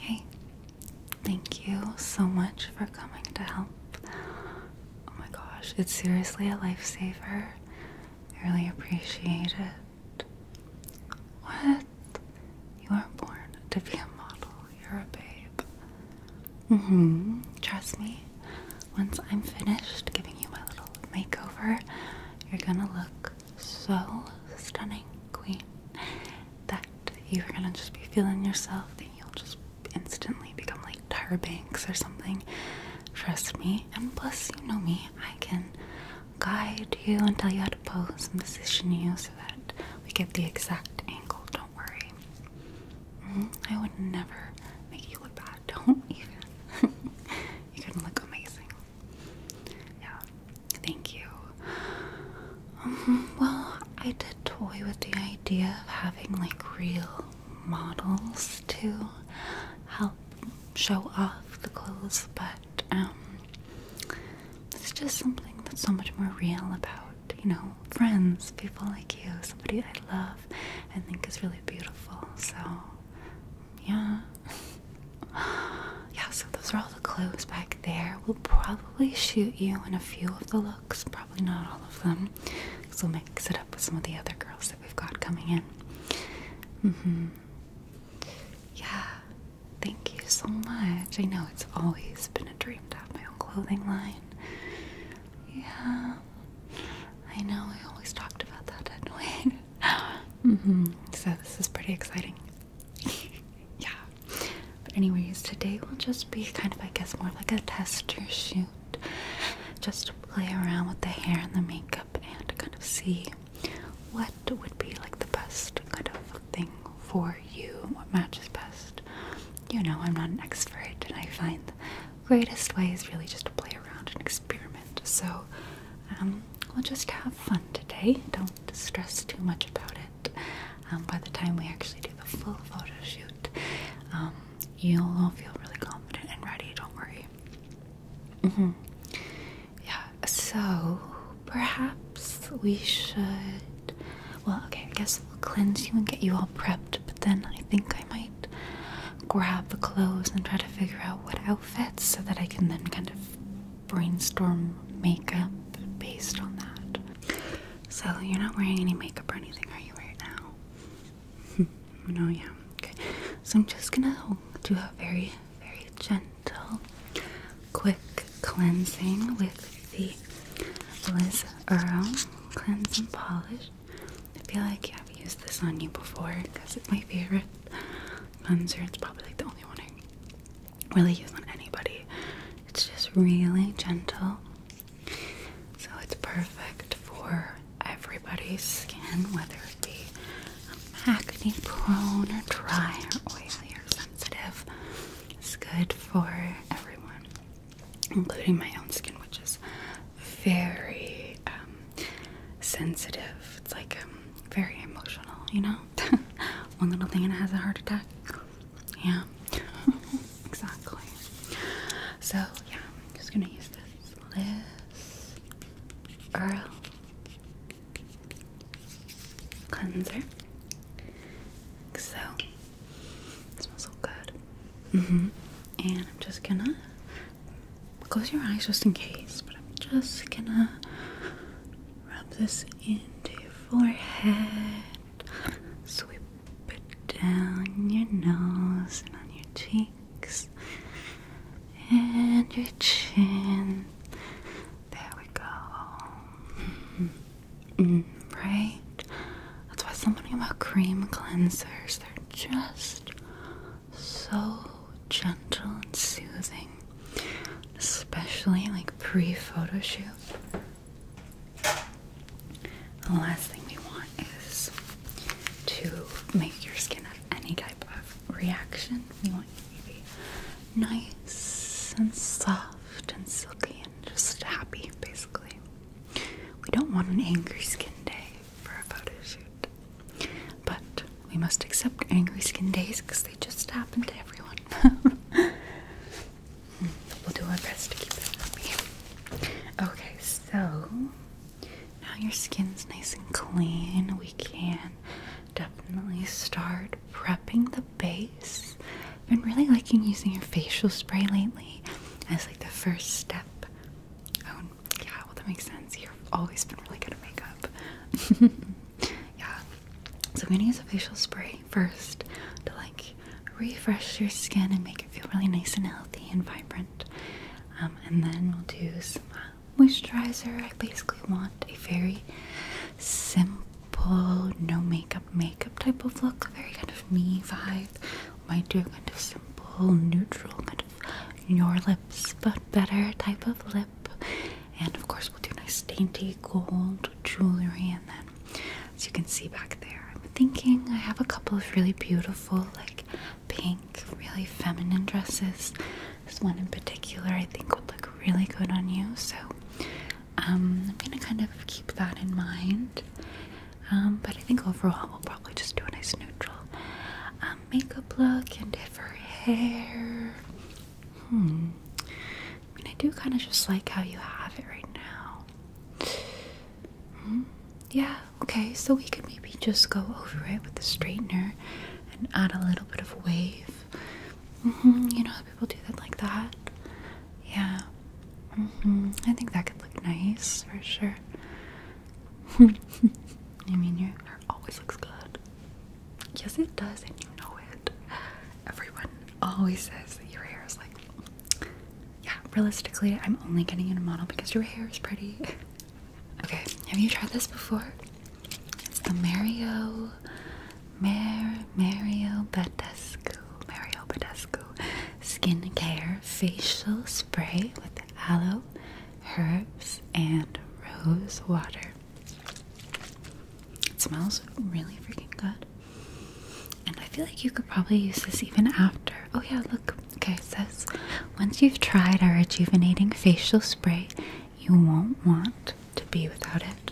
Hey, thank you so much for coming to help. Oh my gosh, it's seriously a lifesaver. I really appreciate it. What? You are born to be a model. You're a babe. Mm hmm. Trust me, once I'm finished giving you my little makeover, you're gonna look so stunning, queen, that you're gonna just be feeling yourself and you'll just instantly become like Tar Banks or something. Trust me. And plus, you know me, I can guide you and tell you how to pose and position you so that we get the exact angle. Don't worry. Mm-hmm. I would never make you look bad. Don't even. you are gonna look amazing. Yeah. Thank you. Um, well, I did toy with the idea of having like real models to help show off the clothes, but um, it's just something that's so much more real about, you know, friends, people like you, somebody I love I think is really beautiful. So, yeah. yeah, so those are all the clothes back there. We'll probably shoot you in a few of the looks, probably not all of them, because we'll mix it up with some of the other girls that we've got coming in. Mm hmm. Yeah, thank you so much. I know it's always been a dream to have my own clothing line. Yeah, I know, I always talked about that, didn't mm hmm. So, this is pretty exciting. yeah. But anyways, today will just be kind of, I guess, more like a tester shoot. Just to play around with the hair and the makeup and kind of see what would be like the best kind of thing for you, what matches best. You know, I'm not an expert, and I find the greatest way is really just to play around and experiment. So, um, we'll just have fun today. Don't stress too much about it. Um, by the time we actually do the full photo shoot, um, you'll all feel really confident and ready. Don't worry. Mm-hmm. Yeah. So perhaps we should. Well, okay. I guess we'll cleanse you and get you all prepped. But then I think I might grab the clothes and try to figure out what outfits so that I can then kind of brainstorm makeup based on that. So, you're not wearing any makeup or anything, are you, right now? Hmm. no, yeah. Okay. So, I'm just gonna do a very, very gentle, quick cleansing with the Liz Earl Cleanse Polish. I feel like yeah, I've used this on you before because it's my favorite cleanser. It's probably like the only one I really use on anybody. It's just really gentle. So it's perfect for everybody's skin, whether it be acne prone or dry or oily or sensitive. It's good for everyone, including my own skin, which is very um, sensitive. It's like um, very emotional, you know? one little thing and it has a heart attack. Yeah, exactly. So, yeah, I'm just gonna use this. Liz Earl cleanser. so, smells so good. Mm hmm. And I'm just gonna close your eyes just in case, but I'm just gonna Rub this into your forehead, sweep it down your nose and on your cheeks and your chin. There we go. Mm-hmm. Mm, right? That's why something about cream cleansers, they're just so gentle and soothing especially like pre photo shoot. The last thing we want is to make your skin have any type of reaction. We want you to be nice and soft and silky and just happy, basically. We don't want an angry skin day for a photo shoot. But we must accept angry skin days because they just happen to everyone. Hmm, we'll do our best to keep that happy. Okay, so now your skin's nice and clean. We can definitely start prepping the base. I've been really liking using your facial spray lately as like the first step. Oh, yeah, well, that makes sense. You've always been really good at makeup. yeah. So I'm gonna use a facial spray first to like refresh your skin and make it feel really nice and healthy and vibrant. Um, and then we'll do some uh, moisturizer. I basically want a very simple, no makeup makeup type of look, very kind of me vibe. Might do a kind of simple, neutral, kind of your lips but better type of lip and of course we'll do nice dainty gold jewelry and then as you can see back there I'm thinking I have a couple of really beautiful like pink really feminine dresses this one in particular I think would look really good on you so um, I'm gonna kind of keep that in mind um, but I think overall we'll probably just do a nice neutral um, makeup look and if her hair Hmm. I mean, I do kind of just like how you have it right now. Hmm? Yeah, okay, so we could maybe just go over it with the straightener and add a little bit of wave. Mm -hmm. You know how people do that like that? Yeah. Mm -hmm. I think that could look nice for sure. I mean, your hair always looks good. Yes, it does, and you know it. Everyone always says that your hair is like, yeah, realistically, I'm only getting in a model because your hair is pretty. okay, have you tried this before? It's the Mario, Mar Mario Badescu, Mario Badescu skincare facial spray with aloe, herbs, and rose water. It smells really freaking good. And I feel like you could probably use this even after. Oh, yeah, look. Okay, it says once you've tried our rejuvenating facial spray, you won't want to be without it.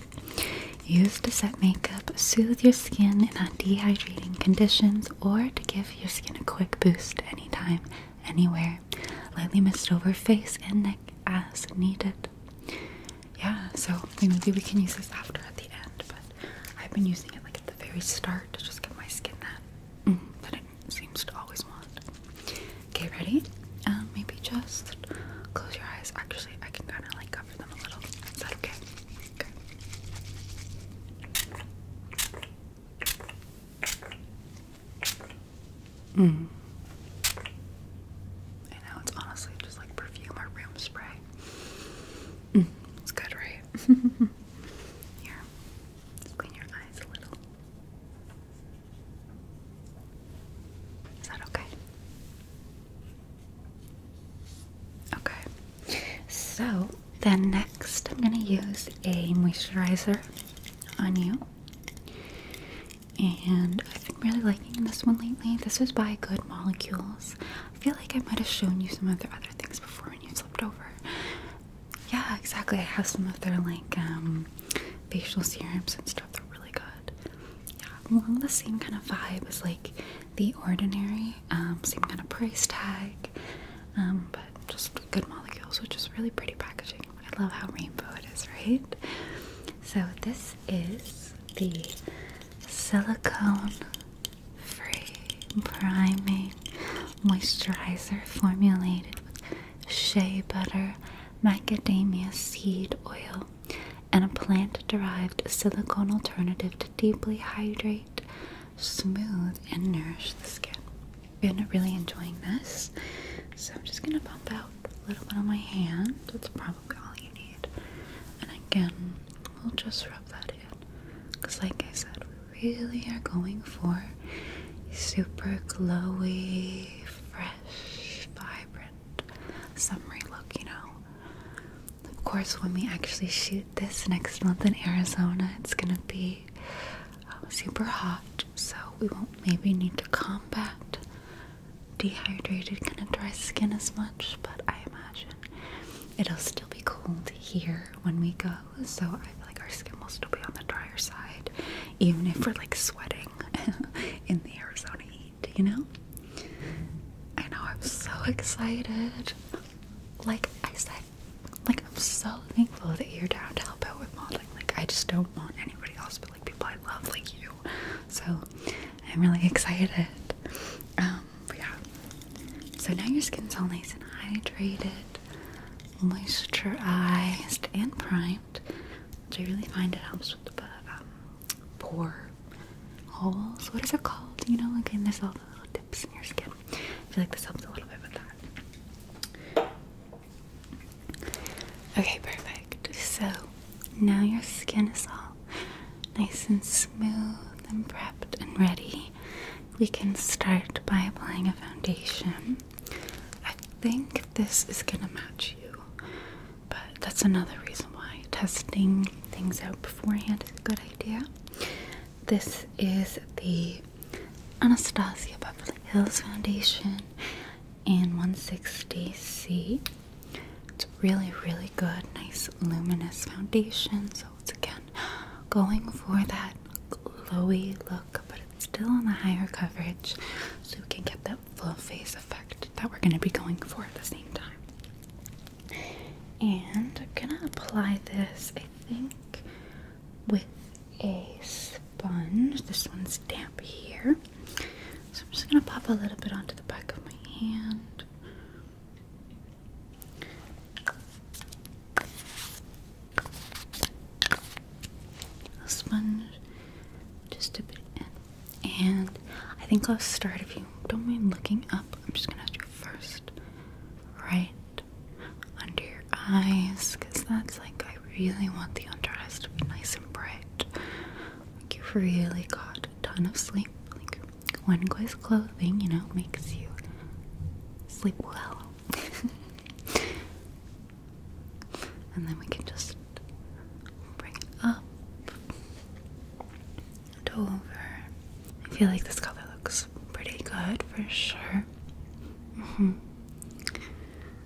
Use to set makeup, soothe your skin in dehydrating conditions, or to give your skin a quick boost anytime anywhere. Lightly mist over face and neck as needed. Yeah, so maybe we can use this after at the end, but I've been using it like at the very start to just get my skin that mm, that it seems to always want. Okay, ready? Um, maybe just close your eyes. Actually, I can kind of like cover them a little. Is that okay? Okay. Mm. I know it's honestly just like perfume or room spray. Mm. It's good, right? Here, clean your eyes a little. Is that okay? Okay. So then next, I'm gonna use a moisturizer on you and I've been really liking this one lately. This is by Good Molecules. I feel like I might have shown you some of their other things before when you slipped over. Yeah, exactly. I have some of their like um, facial serums and stuff. They're really good. Yeah, along the same kind of vibe as like the ordinary, um, same kind of price tag, um, but just Good Molecules, which is really pretty packaging. I love how rainbow it is, right? So, this is the silicone free priming moisturizer formulated with shea butter, macadamia seed oil, and a plant derived silicone alternative to deeply hydrate, smooth, and nourish the skin i been really enjoying this. So I'm just gonna pump out a little bit on my hand. That's probably all you need. And again, we'll just rub that in. Because like I said, we really are going for super glowy, fresh, vibrant, summery look, you know. Of course, when we actually shoot this next month in Arizona, it's gonna be uh, super hot so we won't maybe need to combat dehydrated, kind of dry skin as much, but I imagine it'll still be cold here when we go, so I feel like our skin will still be on the drier side, even if we're like sweating in the Arizona heat, you know? I know, I'm so excited. Like I said, like I'm so thankful that you're down to help out with Mod like I just don't want anybody else but like people I love like you. So I'm really excited. Um, but yeah. So now your skin's all nice and hydrated, moisturized and primed. Do you really find it helps with the um, pore holes? What is it called? You know, again, there's all the little dips in your skin. I feel like this helps a little bit with that. Okay, perfect. So now your skin is all nice and smooth and prepped and ready. We can start by applying a foundation. I think this is gonna match you, but that's another reason why testing things out beforehand is a good idea. This is the Anastasia Beverly Hills Foundation. In 160C. It's really, really good. Nice luminous foundation. So it's again going for that glowy look, but it's still on the higher coverage so we can get that full face effect that we're going to be going for at the same time. And I'm going to apply this, I think, with a sponge. This one's damp here. So I'm just going to pop a little bit onto the back of my hand. A sponge, just a bit And I think I'll start if you don't mind looking up. I'm just going to do first right under your eyes because that's like I I really want the under to be nice and bright. Like you've really got a ton of sleep. Like one guy's clothing, you know, makes you sleep well. and then we can just bring it up and over. I feel like this color looks pretty good for sure. Mm-hmm.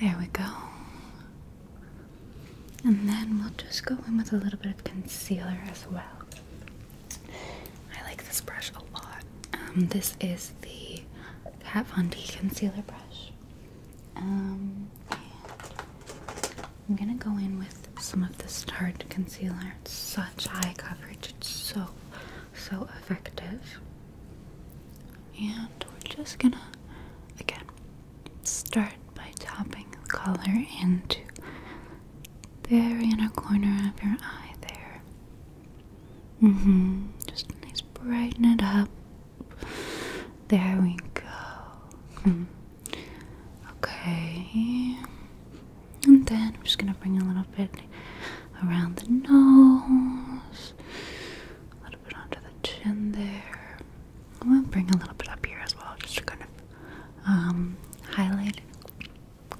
There we go. And then we'll just go in with a little bit of concealer as well. I like this brush a lot. Um, this is the Kat Von D concealer brush. Um, I'm gonna go in with some of this Tarte concealer. It's such high coverage. It's so, so effective. And we're just gonna, again, start by tapping the color into the very inner corner of your eye there. Mm hmm. Just nice, brighten it up. There we go. Hmm. Okay. And then I'm just gonna bring a little bit around the nose a little bit under the chin there. I'm gonna bring a little bit up here as well, just to kind of um, highlight,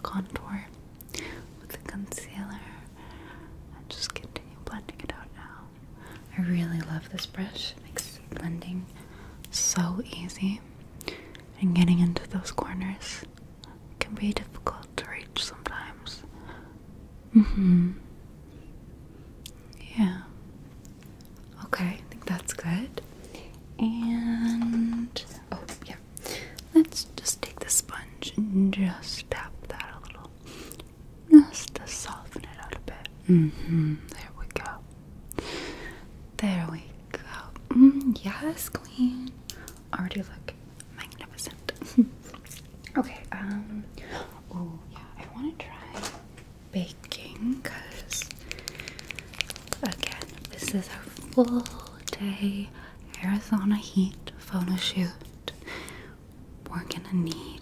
contour with the concealer, and just continue blending it out now. I really love this brush; it makes blending so easy, and getting into those corners can be difficult to reach sometimes. Mm-hmm. Yeah. Okay, I think that's good. And oh yeah. Let's just take the sponge and just tap that a little. Just to soften it out a bit. Mm-hmm. There we go. There we go. Mm, yes, Queen. Already look magnificent. Okay, um, oh yeah, I want to try baking because, again, this is our full day Arizona heat photo shoot. We're gonna need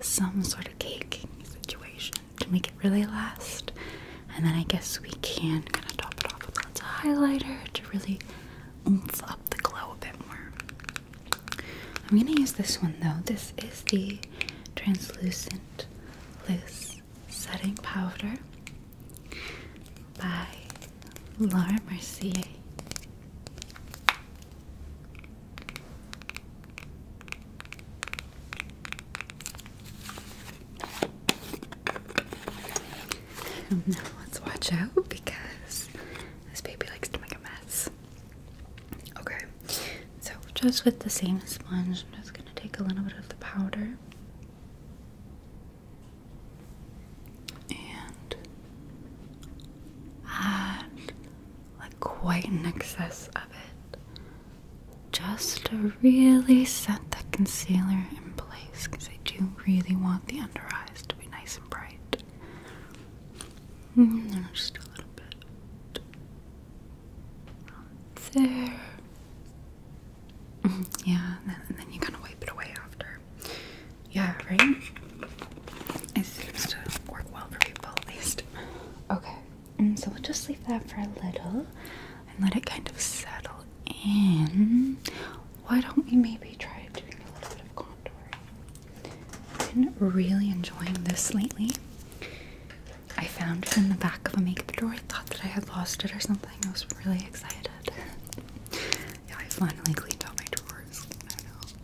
some sort of caking situation to make it really last, and then I guess we can kind of top it off with lots of highlighter to really oomph up the glow a bit more. I'm gonna use this one though. This is the translucent loose setting powder by Laura Mercier. now let's watch out because this baby likes to make a mess. Okay, so just with the same sponge, I'm just going to take a little bit of the powder and add like quite an excess of it just to really set the concealer in place because I do really want the under eyes to be nice and bright. Mm, just a little bit. There. Yeah, and then, you kind of wipe it away after. Yeah, right? It seems to work well for people at least. Okay, and mm, so we'll just leave that for a little and let it kind of settle in. Why don't we maybe try doing a little bit of contouring? I've been really enjoying this lately. I found it in the back of a makeup drawer. I thought that I had lost it or something. I was really excited. yeah, I finally cleaned out my drawers.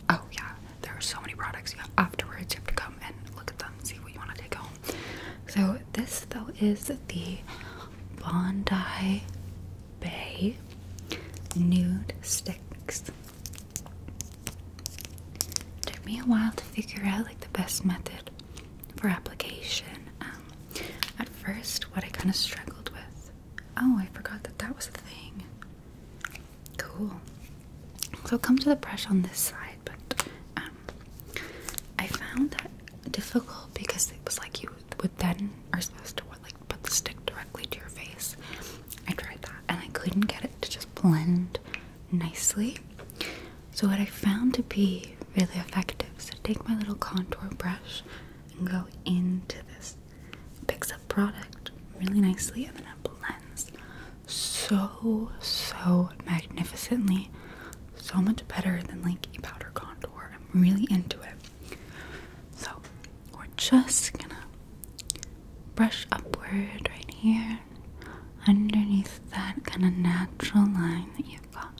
Oh yeah, there are so many products. You afterwards. You have to come and look at them, see what you want to take home. So this though is the Bondi Bay nude sticks. took me a while to figure out like the best method for application. Um, at first, what I kind of struggled with. Oh, I forgot that that was a thing. Cool. So it comes with a brush on this side, but um, I found that difficult because it was like you would then are supposed to what, like put the stick directly to your face. I tried that and I couldn't get it to just blend nicely. So, what I found to be really effective is to take my little contour brush and go into this. picks up product really nicely and then it blends so, so magnificently. So much better than like a powder contour. I'm really into it. So, we're just gonna brush upward right here underneath that kind of natural line that you've got.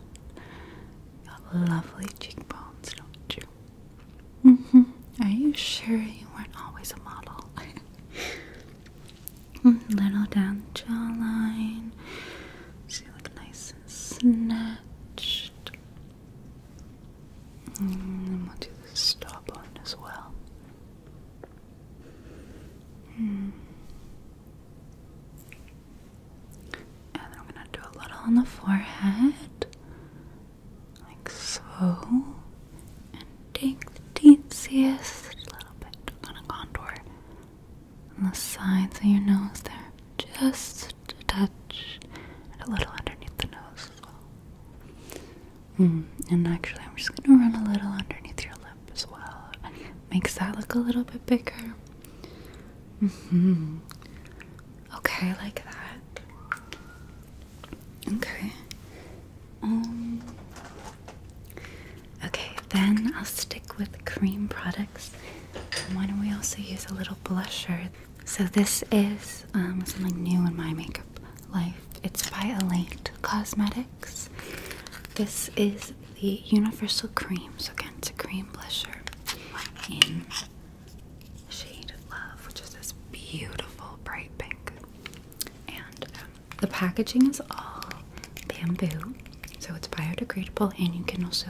You have lovely cheekbones, don't you? Mm-hmm. Are you sure you weren't always a model? Mm, little down the jawline. See, look nice and snatched. And mm, we'll do the stop on as well. Hmm. And then i going to do a little on the forehead, like so. And take the teensiest little bit. I'm contour on the sides of your nose there, just a touch, and a little underneath the nose. Hmm, and actually, I'm just gonna run a little underneath your lip as well. Makes that look a little bit bigger. Mm hmm. Okay, like that. Okay. Um, okay, then I'll stick with cream products. Why don't we also use a little blusher so this is um, something new in my makeup life. It's by Elate Cosmetics. This is the Universal Cream. So again, it's a cream blusher in shade Love, which is this beautiful bright pink. And um, the packaging is all bamboo, so it's biodegradable, and you can also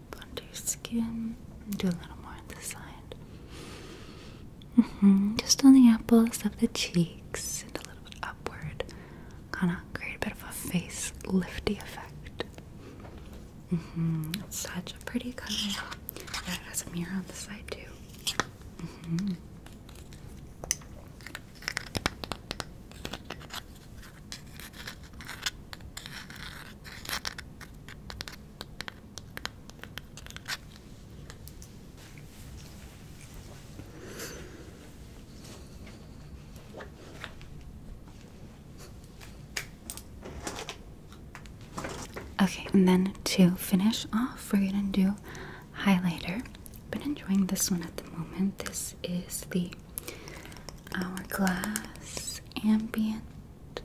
under your skin. Do a little more on the side. Mm-hmm. Just on the apples of the cheeks and a little bit upward. Gonna create a bit of a face lifty effect. Mm -hmm. such a pretty color. Yeah, it has a mirror on the side too. Mm -hmm. Okay, and then to finish off, we're gonna do highlighter. i been enjoying this one at the moment. This is the Hourglass Ambient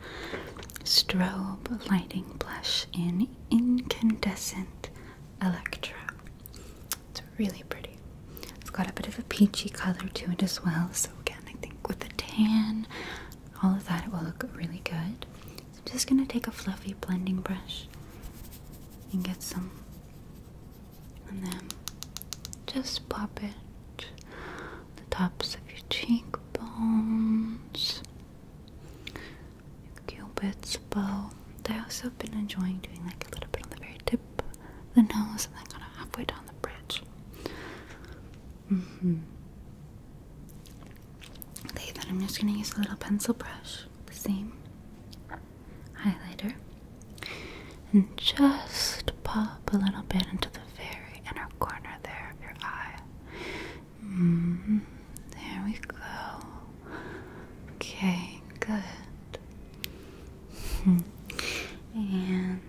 Strobe Lighting Blush in Incandescent Electra. It's really pretty. It's got a bit of a peachy color to it as well. So, again, I think with the tan, all of that, it will look really good. I'm just going to take a fluffy blending brush and get some. And then just pop it the tops of your cheekbones, your cupid's bow. I also have been enjoying doing like a little bit on the very tip of the nose and then kind of halfway down the bridge. Mm hmm Okay, then I'm just gonna use a little pencil brush, the same highlighter. And just pop a little bit into the very inner corner there of your eye. Mm-hmm. There we go. Okay, good. and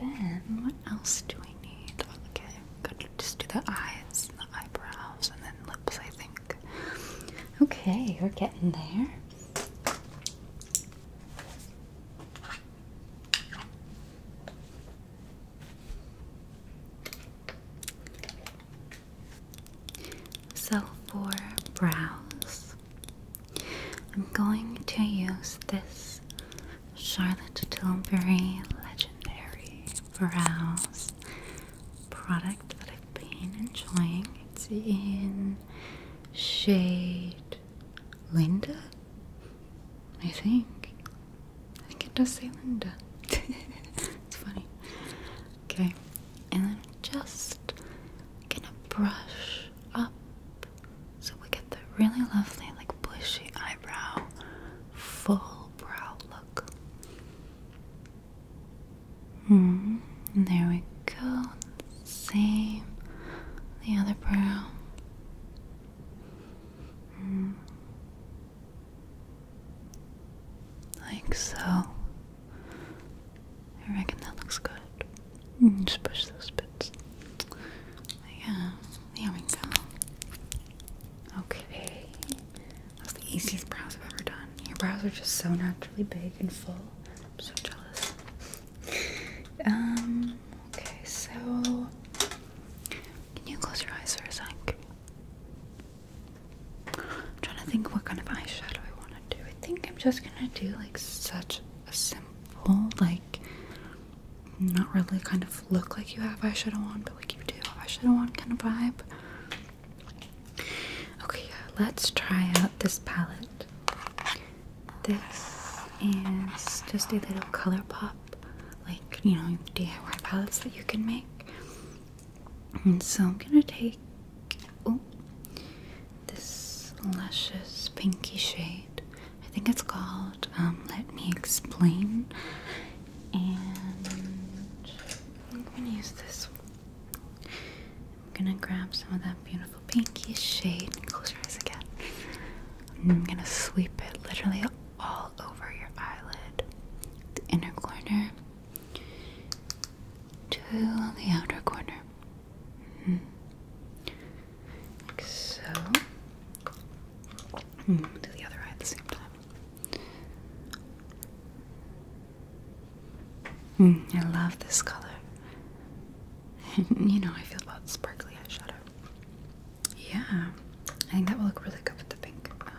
then what else do we need? Okay, good. Just do the eyes, the eyebrows, and then lips, I think. Okay, we're getting there. So for brows, I'm going to use this Charlotte Tilbury Legendary Brows product that I've been enjoying. It's in shade Linda? I think. I think it does say Linda. it's funny. Okay, and then just gonna brush up so we get the really lovely, like bushy eyebrow, full brow look. and hmm. there we go. Same. The other brow. Hmm. Like so. I reckon that looks good. Mm. Just push those bits. Yeah, there we go. Okay. That's the easiest brows I've ever done. Your brows are just so naturally big and full. I'm so jealous. Um, okay, so can you close your eyes for a sec? I'm trying to think what kind of eyeshadow I want to do. I think I'm just gonna do like such a simple, like not really kind of look like you have eyeshadow on, but like you do eyeshadow on kind of vibe. Okay, yeah, let's try out this palette. This is just a little color pop, like you know, DIY palettes that you can make. And so I'm gonna take oh this luscious pinky shade. I think it's called um, Let Me Explain. And I'm gonna use this I'm gonna grab some of that beautiful pinky shade and close your eyes again. I'm gonna sweep it literally all over your eyelid, the inner corner to the outer corner. Mm-hmm. Like so. do mm, the other eye at the same time. Mm, I love this color. you know, I feel about sparkly eyeshadow. Yeah, I think that will look really good with the pink um,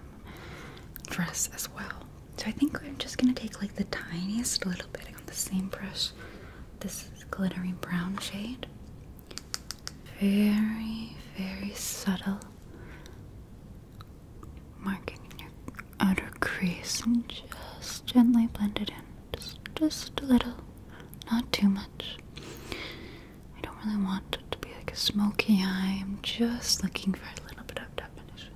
dress as well. So I think I'm just gonna take like the tiniest little bit on the same brush. This glittering brown shade. Very, very subtle. Marking your outer crease and just gently blend it in. Just, just a little. Not too much. I don't really want it to be like a smoky eye. I'm just looking for a little bit of definition.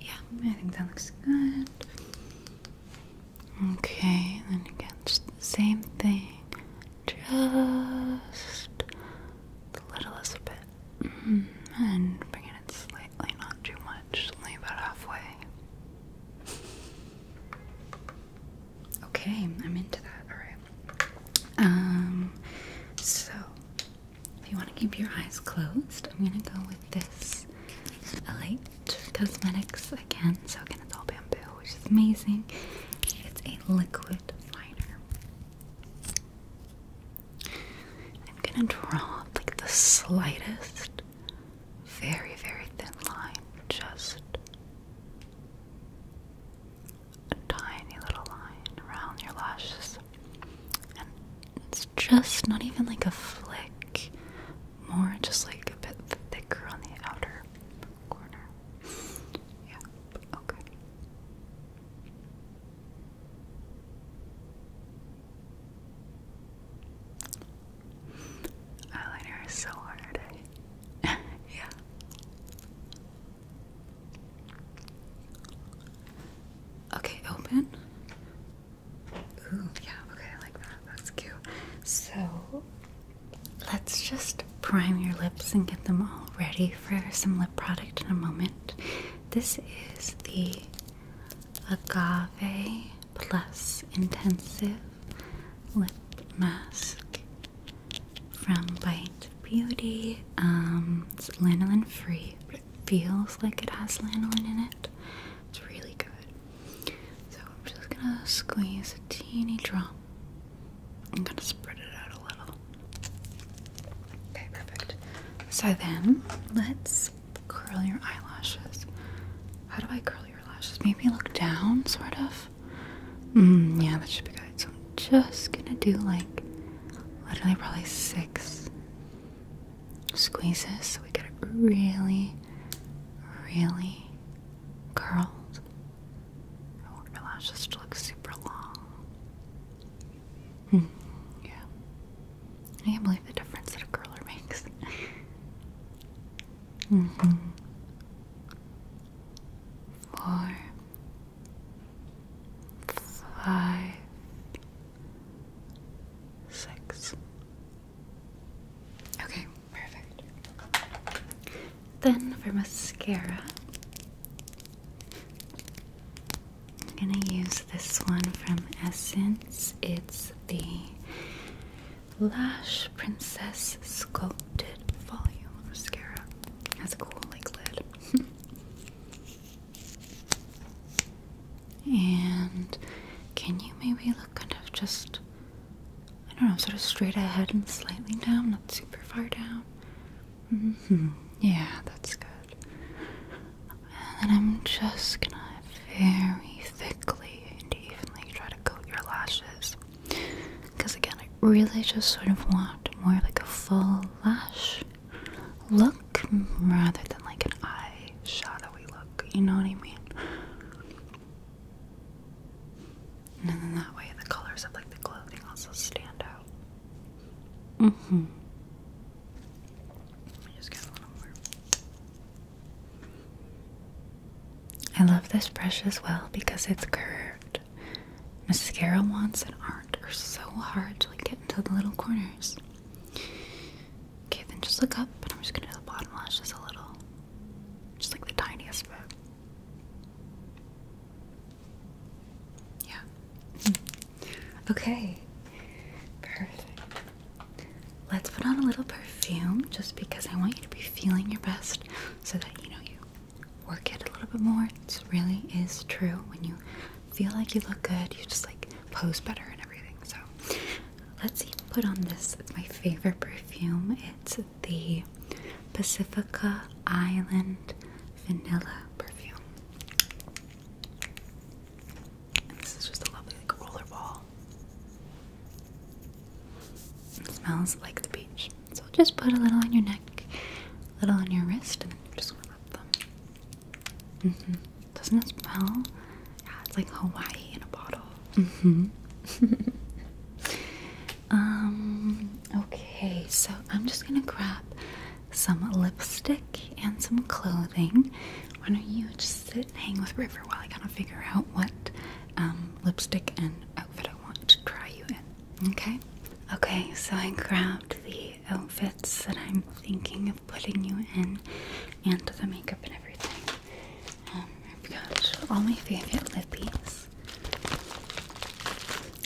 Yeah, I think that looks good. Okay, then again, the same thing. Just a little bit. Mm-hmm. And bring it slightly, not too much much, only about halfway. Okay, I'm into that. Alright. Um, so if you want to keep your eyes closed, I'm gonna go with this Elite Cosmetics again. So again, it's all bamboo, which is amazing. It's a liquid liner. I'm gonna draw like the slightest very, very thin line, just a tiny little line around your lashes. And it's just not even like a flick, more just like a bit thicker on the outer corner. Yeah, okay. Eyeliner is so hard. yeah. Okay, open. Ooh, yeah, okay, I like that. That's cute. So, let's just prime your lips and get them all ready for some lip product in a moment. This is the Agave Plus Intensive Lip Mask from Bite Beauty. Um, it's lanolin free, but it feels like it has lanolin in it. It's really good. So I'm just gonna squeeze a teeny drop. I'm gonna spread it out a little. Okay, perfect. So then let's curl your eyelashes. How do I curl your lashes? Maybe look down, sort of. Mm, yeah, that should be good. So I'm just gonna do like literally probably six squeezes so we get it really, really curled. I want my lashes to look super long. Hmm, yeah. I can't believe the difference that a curler makes. Mm-hmm. Four, five, six. Okay, perfect. Then for mascara. I'm going to use this one from Essence. It's the Lash Princess Sculpted Volume Mascara. has a cool like lid. and can you maybe look kind of just, I don't know, sort of straight ahead and slightly down, not super far down? Mm-hmm. Yeah, that's good. And then I'm just gonna very thickly and evenly try to coat your lashes. Because again, I really just sort of want more like a full lash look rather than like an eye shadowy look. You know what I mean? And then that way the colors of like the clothing also stand out. Mm hmm. I love this brush as well because it's curved. Mascara wants and aren't are so hard to like, get into the little corners. Okay, then just look up, but I'm just gonna do the bottom lash just a little. Just like the tiniest bit. Yeah. Hmm. Okay, perfect. Let's put on a little perfume just because I want you to be feeling your best so that you know you work it a little bit more. It really is true. When you feel like you look good, you just like pose better and everything. So let's see, put on this. It's my favorite perfume. It's the Pacifica Island Vanilla perfume. And this is just a lovely like roller ball. smells like the beach. So just put a little on your neck, a little on your wrist, and then you just want to rub them. Mm-hmm. Doesn't it smell? Yeah, it's like Hawaii in a bottle. Mm-hmm. um. Okay, so I'm just gonna grab some lipstick and some clothing. Why don't you just sit and hang with River while I kind of figure out what um, lipstick and outfit I want to try you in? Okay? Okay, so I grabbed the outfits that I'm thinking of putting you in and the makeup and everything. Um, I've got all my favorite lippies.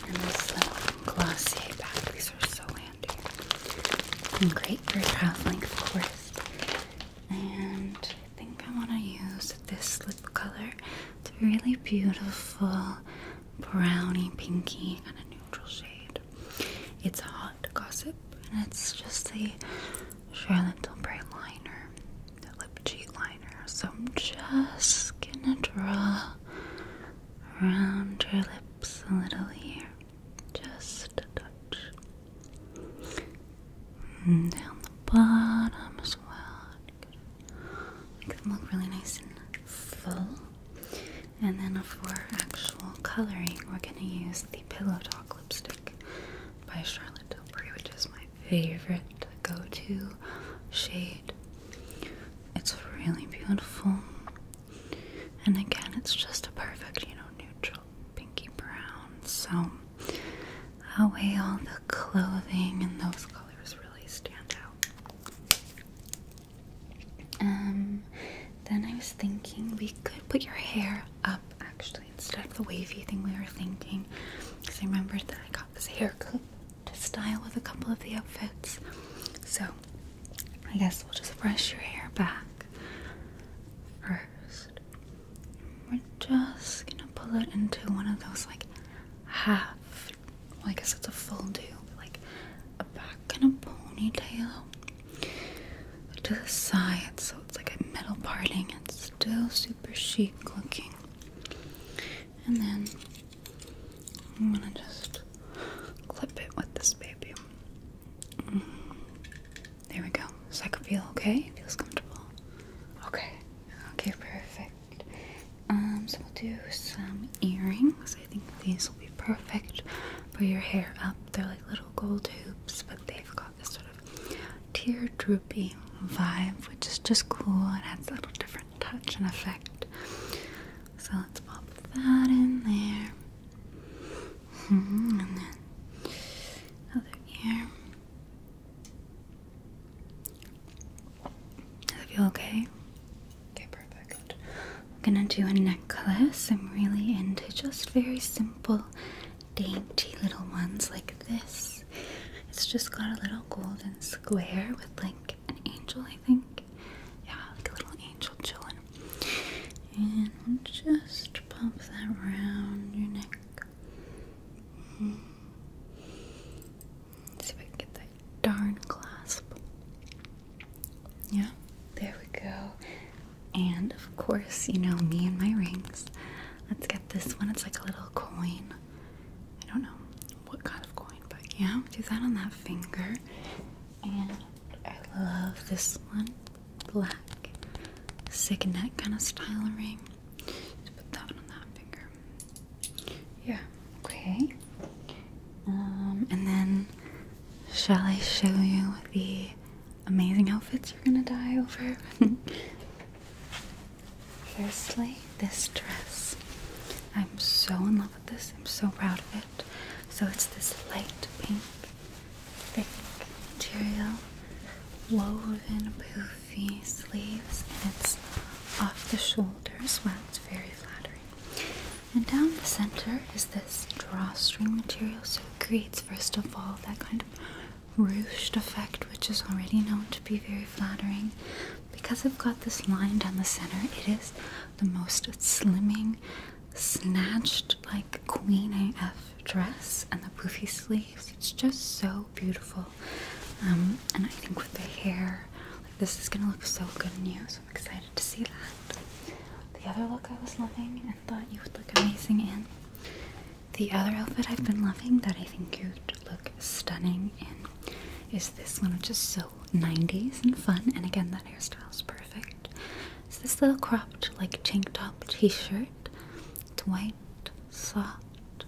And this little Glossier bag. These are so handy and great for traveling course. And I think I want to use this lip color. It's a really beautiful brownie pinky kind of neutral shade. It's hot gossip and it's just the Charlotte Tilbury liner, the lip cheek liner. So I'm just gonna draw around your lips a little here. Just a touch. And mm, down the bottom as well. Make them look really nice and full. And then for actual coloring, we're going to use the Pillow Talk lipstick by Charlotte Tilbury, which is my favorite go to shade. It's really beautiful. And again, it's just a perfect, you know, neutral pinky brown. So that all the clothing and those colors really stand out. Um, then I was thinking we could put your hair up actually instead of the wavy thing we were thinking. Because I remembered that I got this haircut to style with a couple of the outfits. So I guess we'll just brush your hair back first. We're just gonna pull it into one of those like half, well, I guess it's a full do, like a back and a ponytail to the side, so it's like a middle parting. It's still super chic looking. And then I'm gonna just clip it with this baby. Mm-hmm. There we go. So I can feel okay? Feels comfortable. Okay. Okay, perfect. Um, so we'll do some earrings. I think these will be perfect for your hair up. They're like little gold hoops, but they've got this sort of tear droopy vibe, which is just cool. It has a little different touch and effect. So let's pop that in there. Mm -hmm. And then ear. Does feel okay? Okay, perfect. I'm gonna do a necklace. I'm really into just very simple, dainty little ones like this. It's just got a little golden square with like an angel, I think. Yeah, like a little angel chilling and we'll just pop that around your neck. see if I can get that darn clasp. Yeah, there we go. And of course, you know me and my rings. Let's get this one. It's like a little coin. I don't know what kind of coin, but yeah, do that on that finger. And I love this one. Black. Signet kind of style ring. Just put that one on that finger. Yeah. Okay. Um, and then shall I show you the amazing outfits you're gonna die over? Firstly, this dress. I'm so in love with this. I'm so proud of it. So it's this light pink, thick material woven poofy sleeves, and it's off the shoulders, well. It's very flattering. And down the center is this drawstring material, so it creates, first of all, that kind of ruched effect, which is already known to be very flattering. Because I've got this line down the center, it is the most slimming, snatched like Queen AF dress and the poofy sleeves. It's just so beautiful. Um, and I think with the hair, this is gonna look so good on you. So I'm excited to see that. The other look I was loving and thought you would look amazing in. The other outfit I've been loving that I think you'd look stunning in is this one, which is so 90s and fun. And again, that hairstyle is perfect. It's this little cropped, like tank top t-shirt. It's white, soft,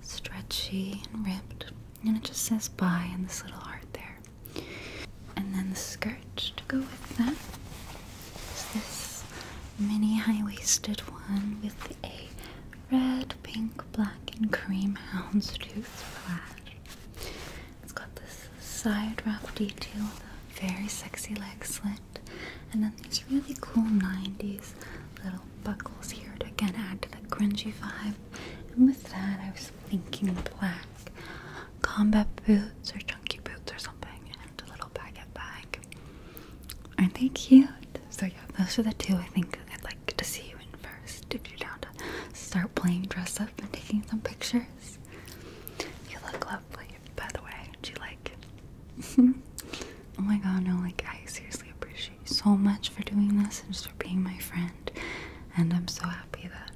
stretchy, and ripped. And it just says bye in this little heart there. And then the skirt to go with that is this mini high-waisted one with a red, pink, black, and cream houndstooth plaid. It's got this side wrap detail, the very sexy leg slit, and then these really cool 90s little buckles here to again add to the grungy vibe. And with that, I was thinking black combat boots or chunky boots or something, and a little baguette bag. Aren't they cute? So, yeah, those are the two I think I'd like to see you in first. Did you down to start playing dress up and taking some pictures? You look lovely, by the way. Do you like oh my god, no, like I seriously appreciate you so much for doing this and just for being my friend. And I'm so happy that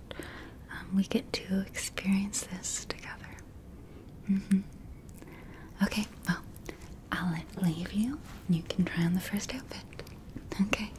um, we get to experience this together. Mm-hmm. Okay, well, I'll leave you. You can try on the first outfit. Okay.